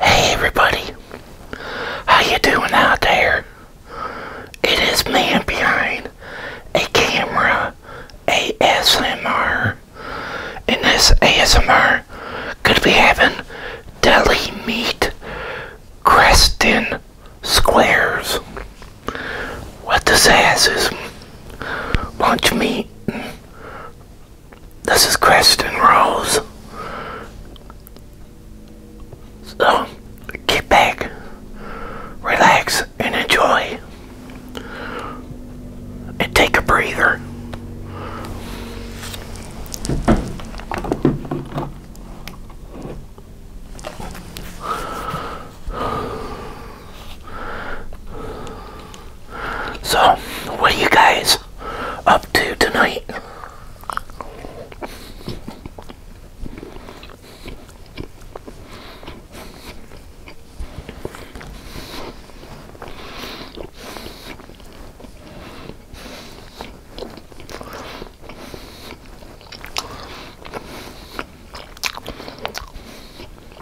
Hey everybody, how you doing out there? It is man behind a camera ASMR. In this ASMR, could be having deli meat Creston squares. What does ass is lunch meat this is Kristen Rose. So, get back, relax, and enjoy. And take a breather. So, what are you guys up to tonight?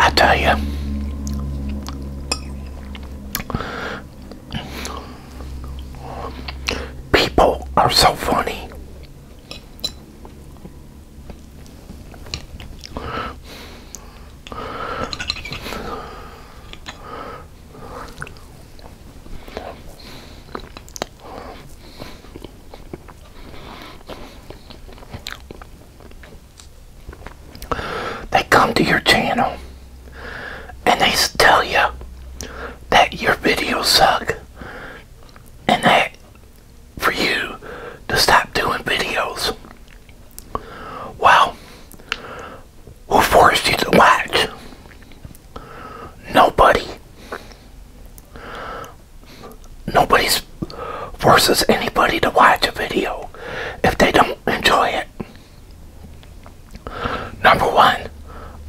I tell you, people are so funny. They come to your channel and they tell you that your videos suck and they for you to stop doing videos. Well, who forced you to watch? Nobody. Nobody forces anybody to watch a video if they don't enjoy it. Number one,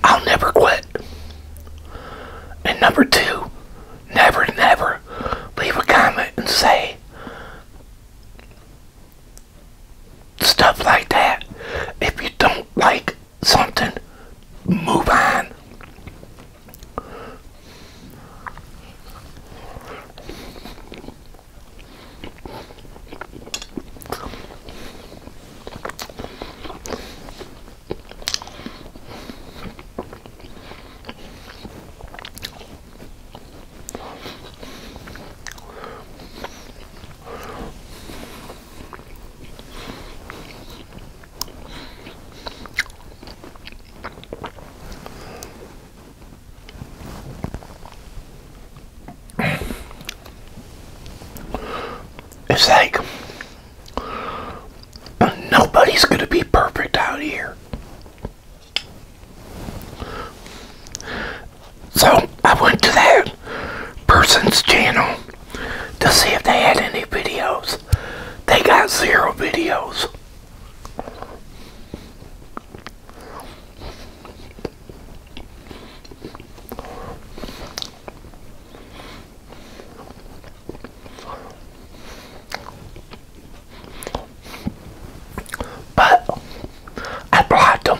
I'll never quit. And number two, never, never leave a comment and say stuff like that. If you don't like something, move on. It's like Nobody's going to be perfect out here. So I went to that person's channel to see if they had any videos. They got zero videos. But I brought them.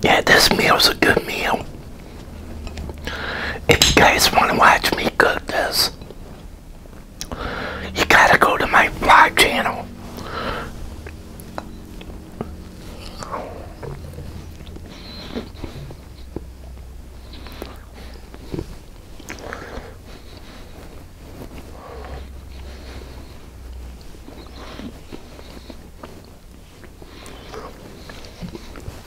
Yeah, this meal meal's a good meal. If you guys want to watch me Goodness! you gotta go to my vlog channel.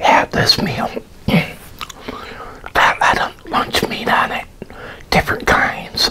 Have this meal that had lunch meat on it, different kinds.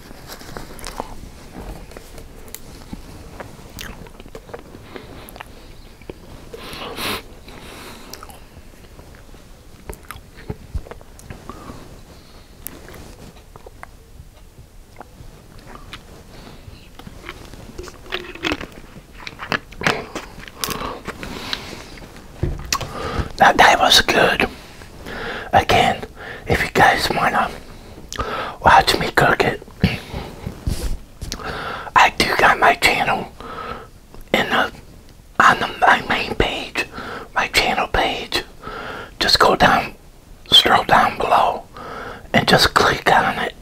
That day was good. Again, if you guys want to watch me cook it, I do got my channel in the on the, my main page, my channel page. Just go down, scroll down below, and just click on it.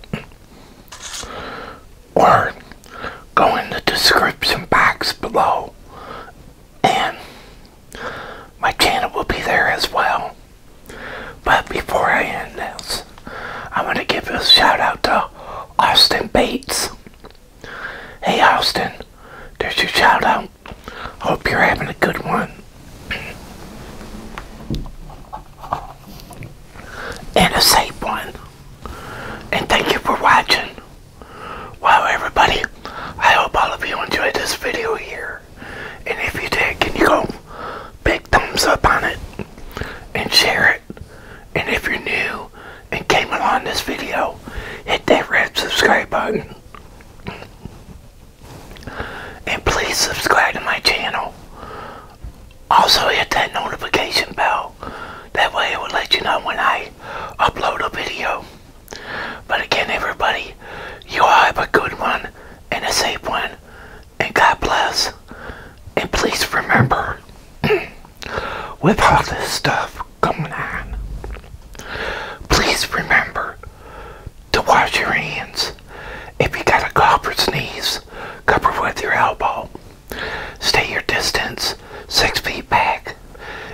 Or go in the description box below and my channel will be there as well. But before I end this, I want to give a shout out to Austin Bates. Hey Austin, there's your shout out. Hope you're having a good one. And a safe one. And thank you for watching. Wow everybody, I hope all of you enjoyed this video here. And if you did, can you go big thumbs up on it and share it? And if you're new and came along this video, hit that red subscribe button. And please subscribe to my channel. Also hit that notification bell. That way it will let you know when I upload a video. But again, everybody, you all have a good one and a safe one. And God bless. And please remember, with all this stuff coming on, please remember to wash your hands. If you got a cough or sneeze, cover with your elbow. Stay your distance, six feet back.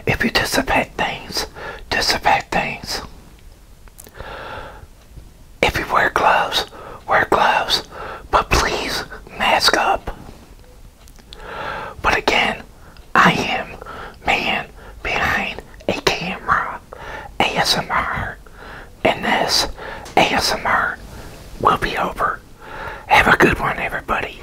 If you disinfect things, disinfect things. If you wear gloves, wear gloves, but please mask up. But again, I am man behind a camera, ASMR, and this ASMR will be over. Have a good one, everybody.